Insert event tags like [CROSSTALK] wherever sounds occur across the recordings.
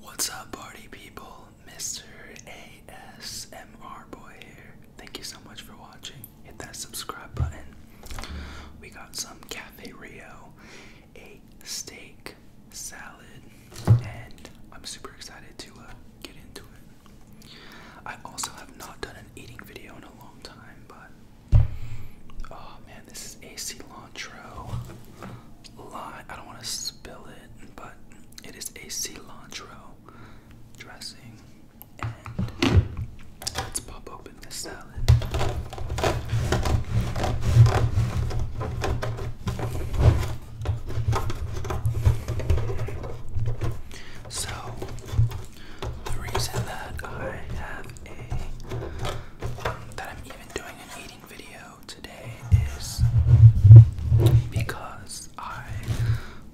What's up, party people? Mr. ASMR Boy here. Thank you so much for watching. Hit that subscribe button. We got some Cafe Rio, a steak salad, and I'm super excited to uh, get into it. I also have not done an eating video in a long time, but oh man, this is AC long cilantro lime. I don't want to spill it, but it is a cilantro dressing. And let's pop open this salad. So, the reason that I have a um, that I'm even doing an eating video today is because I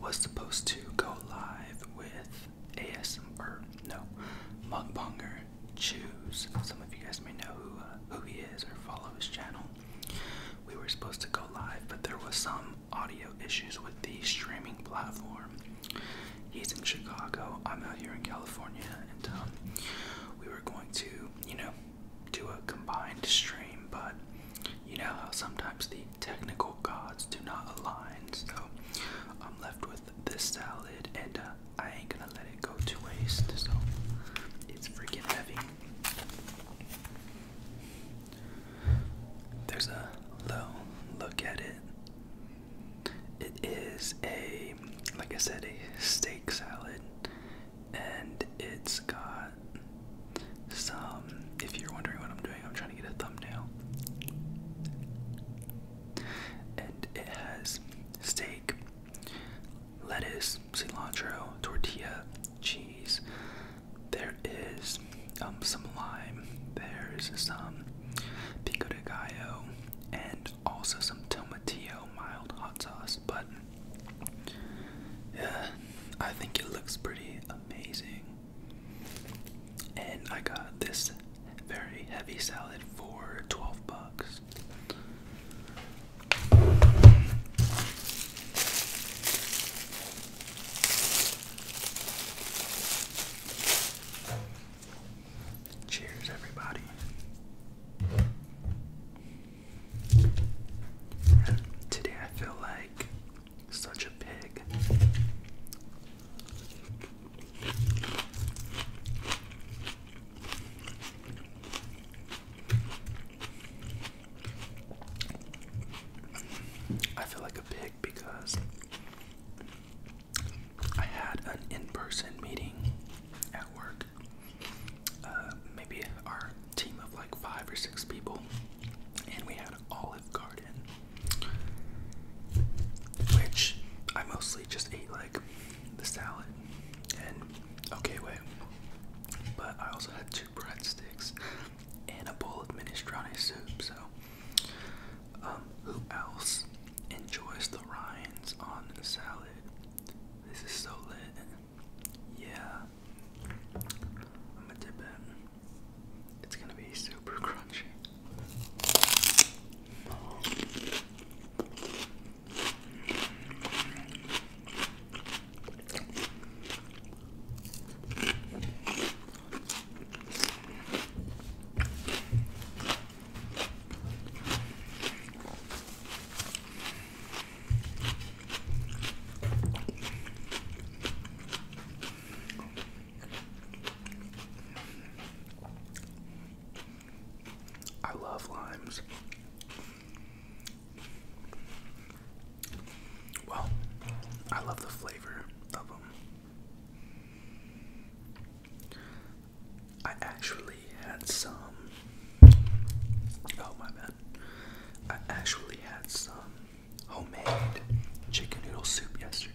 was supposed to go live with ASMR, no, Mugbonger Choose. Some of you guys may know who, uh, who he is or follow his channel. We were supposed to go live, but there was some audio issues with the streaming platform. He's in Chicago, I'm out here in California, and um, we were going to, you know, to a combined stream, but you know how sometimes the technical gods do not align, so I'm left with this salad, and uh, I ain't gonna let it go to waste, so it's freaking heavy. There's a low look at it. It is a, like I said, a steak salad and it's got some. If you're wondering what I'm doing, I'm trying to get a thumbnail. And it has steak, lettuce, cilantro, tortilla, cheese. There is um, some lime. There's some pico de gallo, and also some tomatillo mild hot sauce. But yeah, I think it looks pretty amazing. And I got this very heavy salad for 12 bucks. Cheers, everybody. Today I feel like such a pig. I feel like a pig because I had an in person meeting at work uh, maybe our team of like five or six people, and we had Olive Garden, which I mostly just ate like the salad and okay, wait. But I also had two breadsticks and a bowl of minestrone soup. So, um, who else enjoys the rinds on the salad? This is so lit. Yeah. I'm gonna dip it. It's gonna be super [LAUGHS] crunchy. I love limes. Well, I love the flavor of them. I actually had some. Oh my bad. I actually had some homemade chicken noodle soup yesterday.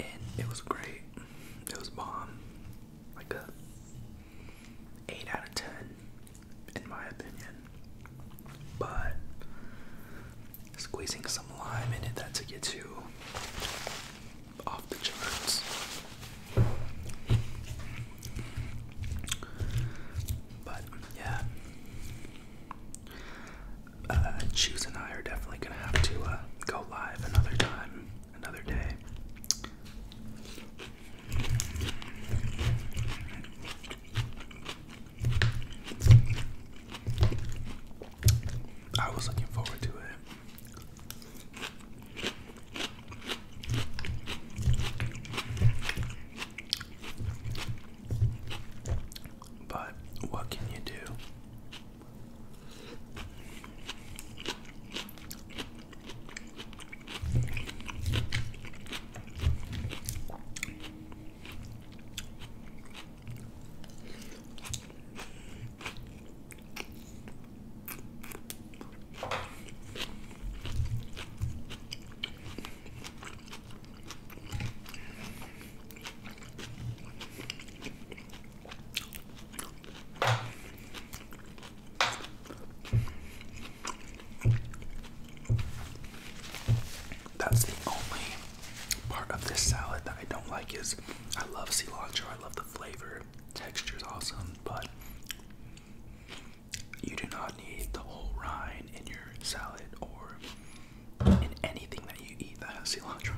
And it was great. It was bomb. Like a 8 out of 10, in my opinion. But squeezing some lime in it, that's a get to off the charts. But yeah, uh, Cheese and I are definitely gonna have to uh, go live another time, another day. I was looking forward to it. But what can you do? That's the only part of this salad that I don't like is I love cilantro. I love the flavor texture. is awesome, but you do not need the whole rind in your salad or in anything that you eat that has cilantro.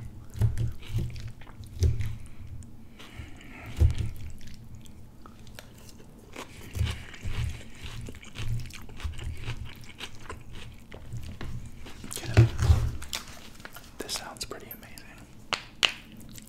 This sounds pretty amazing.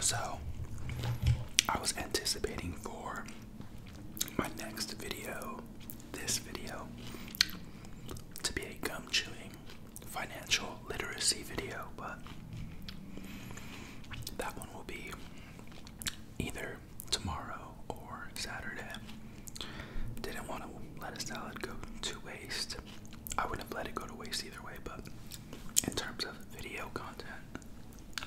So, I was anticipating for my next video this video to be a gum chewing financial literacy video, but that one will be either tomorrow or Saturday. Didn't want to let a salad go to waste. I wouldn't have let it go to waste either way, but in terms of video content,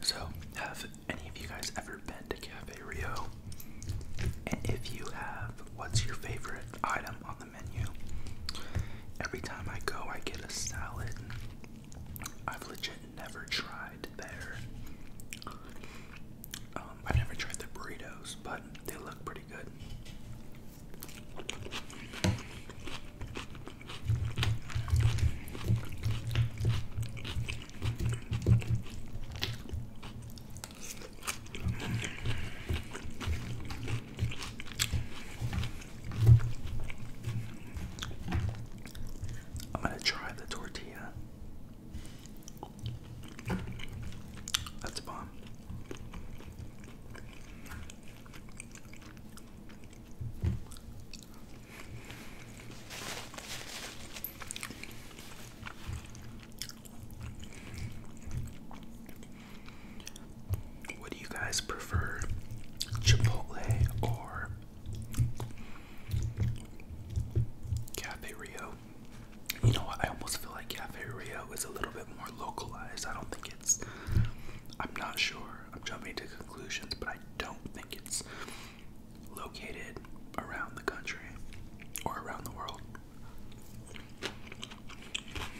So, have any of you guys ever been to Cafe Rio? And if you have, what's your favorite item on the menu? Every time I go, I get a salad I've legit never tried their. Um, I've never tried their burritos, but they look pretty good. I'm gonna try the tortilla. That's bomb. What do you guys prefer? Chipotle or Cafe Rio? You know I almost feel like Cafe Rio is a little bit more localized. I don't think it's. I'm not sure. I'm jumping to conclusions, but I don't think it's located around the country or around the world.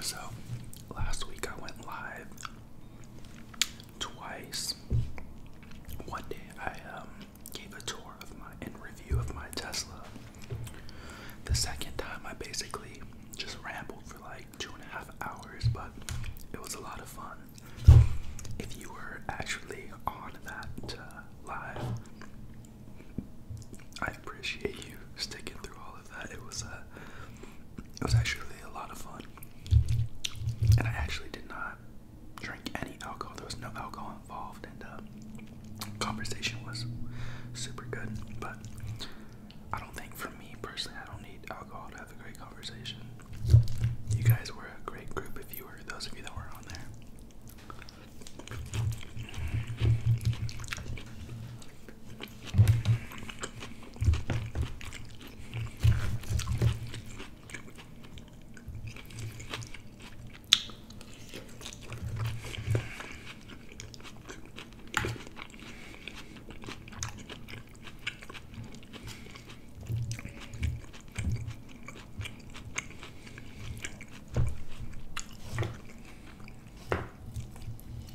So, last week I went live twice. One day I um, gave a tour of my and review of my Tesla. The second time I basically just rambled for like two and a half hours, but it was a lot of fun if you were actually on that uh, live. I appreciate you sticking through all of that. It was a, uh, it was actually a lot of fun, and I actually did not drink any alcohol. There was no alcohol involved, and the uh, conversation was super good. But I don't think for me personally, I don't need alcohol to have a great conversation. You guys were a great group if you were those of you that were on there.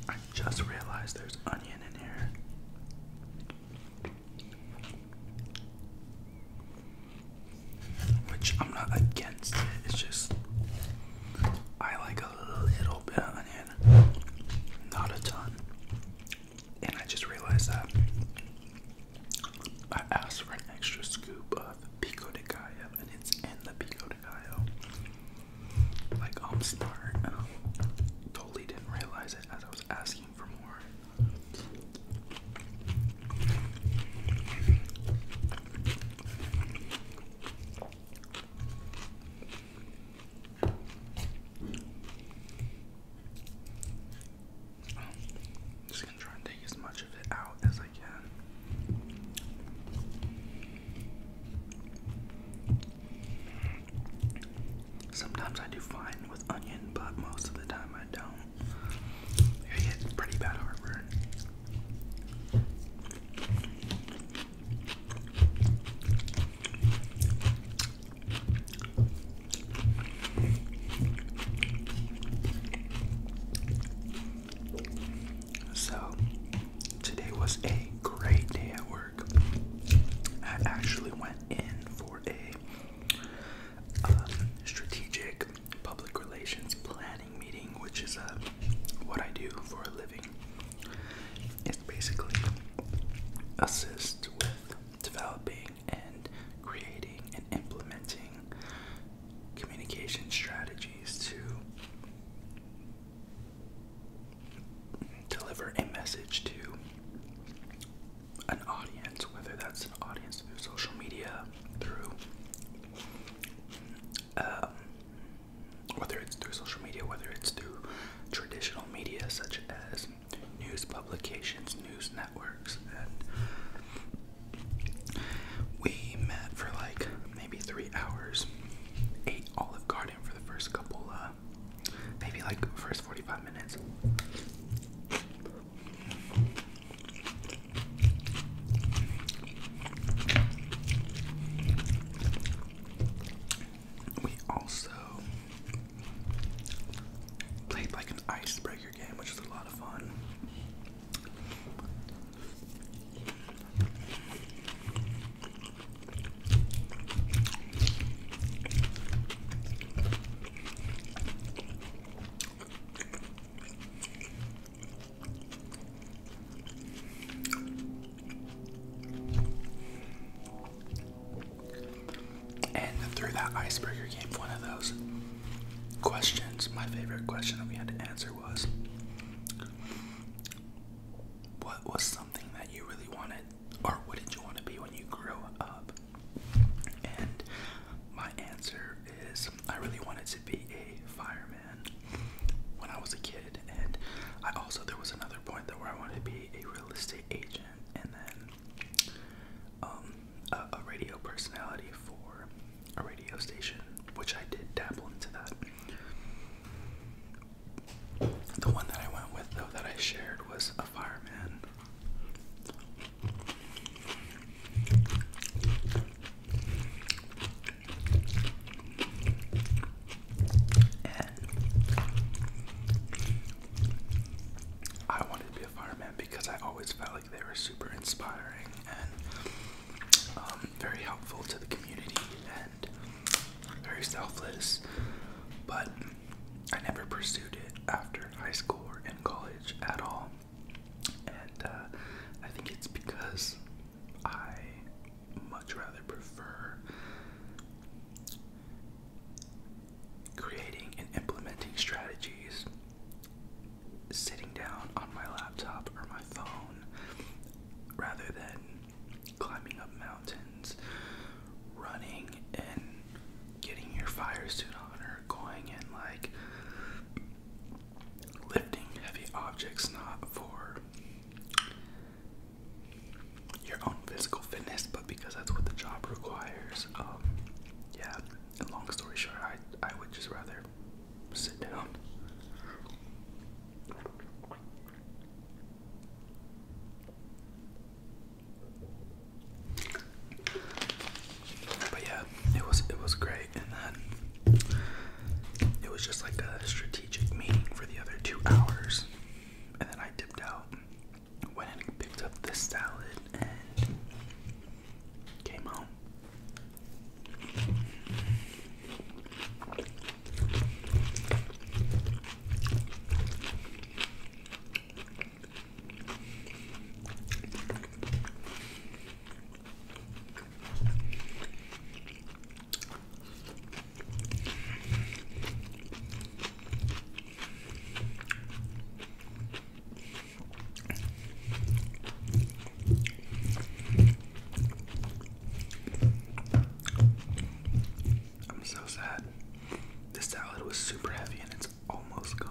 I just realized there's onion in here. Which I'm not against it's just I like a little bit of onion, not a ton. And I just realized that I asked for an extra scoop of pico de gallo, and it's in the pico de gallo. Like I'm smart. And I totally didn't realize it as I was asking for more just gonna try and take as much of it out as I can. Sometimes I do fine with onion, but most of the time I don't. I get pretty bad heartburn. So, today was a great day at work. I actually went in for a um, strategic public relations planning meeting, which is a uh, what I do for a living. It's basically assist with developing and creating and implementing communication strategies to deliver a message to an audience, whether that's an audience through social media, through um, whether it's through social media, whether it's through traditional media such as news publications, news networks, and we met for like maybe three hours. Ate Olive Garden for the first couple, uh, maybe like first 45 minutes. We also played like an icebreaker which is a lot of fun. And through that icebreaker game, one of those questions, my favorite question that we had to answer was What was something that you really wanted, or what did you want to be when you grew up? And my answer is I really wanted to be a fireman when I was a kid, and I also, there was another point that where I wanted to be a real estate agent, and then um, a, radio personality for a radio station, which I did dabble into that. The one that I went with, though, that I shared was a fireman. I wanted to be be a fireman because I always felt like they were super inspiring and um, very helpful to the community and very selfless. But I never pursued it after high school or in college at all. And uh, I think it's because I much rather prefer creating and implementing strategies, sitting down on my laptop or my phone rather than climbing up mountains, running and getting your fire suit on, or going and like lifting heavy objects, not for your own physical fitness, but because that's what the job requires. Um, yeah, and long story short, I I would just rather sit down. But yeah, it was it was great, and then it was just like a strategic meeting for the other two hours, and then I dipped out went and picked up this salad and came home. I'm so sad. This salad was super heavy and it's almost gone.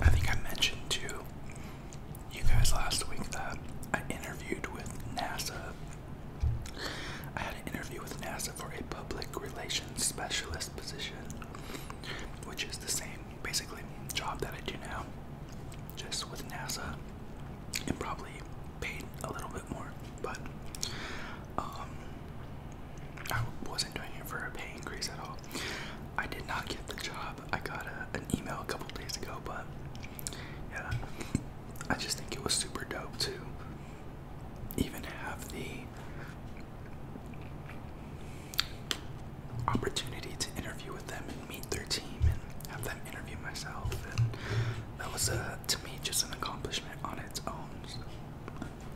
I think I mentioned to you guys last week that I interviewed with NASA. I had an interview with NASA for a public relations specialist position, which is the same basically job that I do now, just with NASA and probably paid a little bit more. But um, I wasn't doing it for a pay increase at all. I did not get the job. I got a, an email a couple days ago, but yeah, I just think it was super dope to even have the opportunity to interview with them and meet their team and have them interview myself and that was a to me just an accomplishment on its own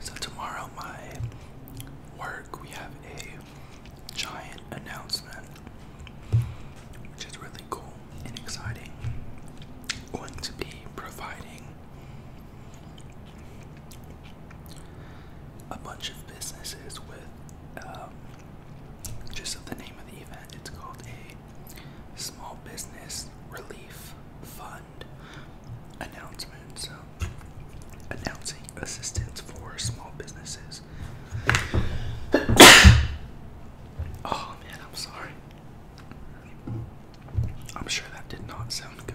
So, tomorrow, my work, we have a giant announcement, which is really cool and exciting. Going to be providing a bunch of businesses with um, just the name of the event. It's called a small business relief fund announcement. So announcing assistance for small businesses. [COUGHS] oh man, I'm sorry. I'm sure that did not sound good.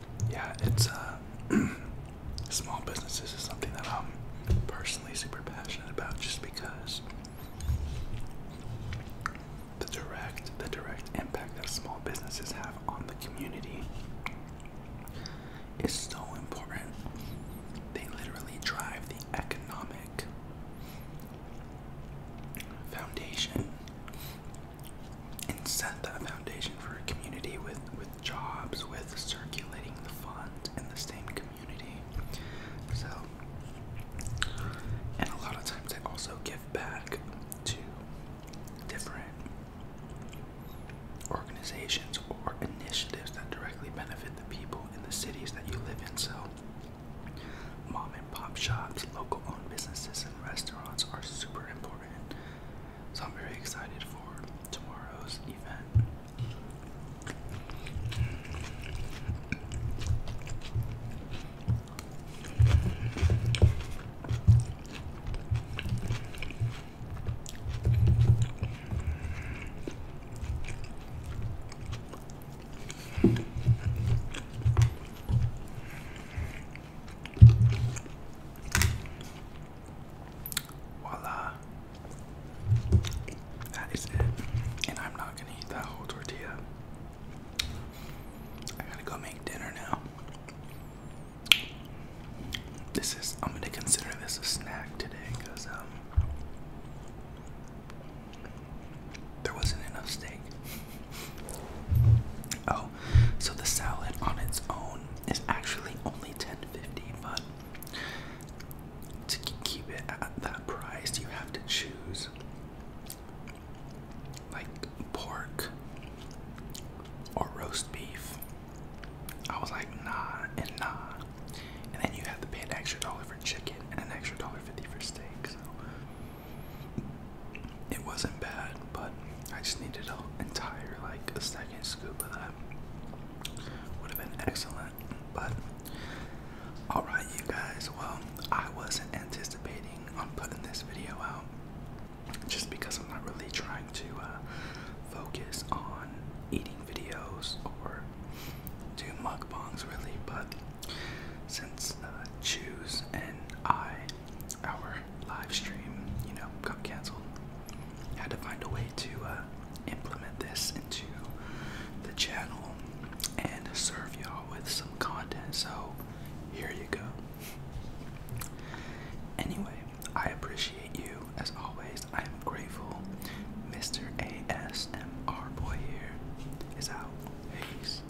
yeah, it's uh, [CLEARS THROAT] small businesses is something that I'm personally super passionate about, just because the direct, the direct impact that small businesses have on the community is so important. They literally drive the economic foundation and set that foundation for a community with with jobs, with circulating the funds in the same community. So, and a lot of times I also give back to different organizations or initiatives that directly benefit the people in the cities that you live in. So, mom and pop shops, local owned businesses, and restaurants are super important so I'm very excited for tomorrow's event. Voila. That is it. And I'm not gonna eat that whole tortilla. I gotta go make dinner now. This is, I'm gonna consider this a snack today because um, there wasn't enough steak. I oh, so the salad on its own is actually only 10 50 but to keep it at that price, you have to choose like pork or roast beef. I was like, nah, and nah. And then you have to pay an extra dollar for chicken and an extra dollar fifty for steak. It wasn't bad, but I just needed an entire like a second scoop of that. Would have been excellent, but alright you guys, well I wasn't anticipating on putting this video out just because I'm not really trying to uh, focus on eating videos or do mukbangs really, but since uh, Choose and I our live stream, you know, got canceled. Had to find a way to uh, implement this into the channel and serve y'all with some content. So here you go. Anyway, I appreciate you as always. I am grateful. Mr. ASMR Boy here is out. Peace.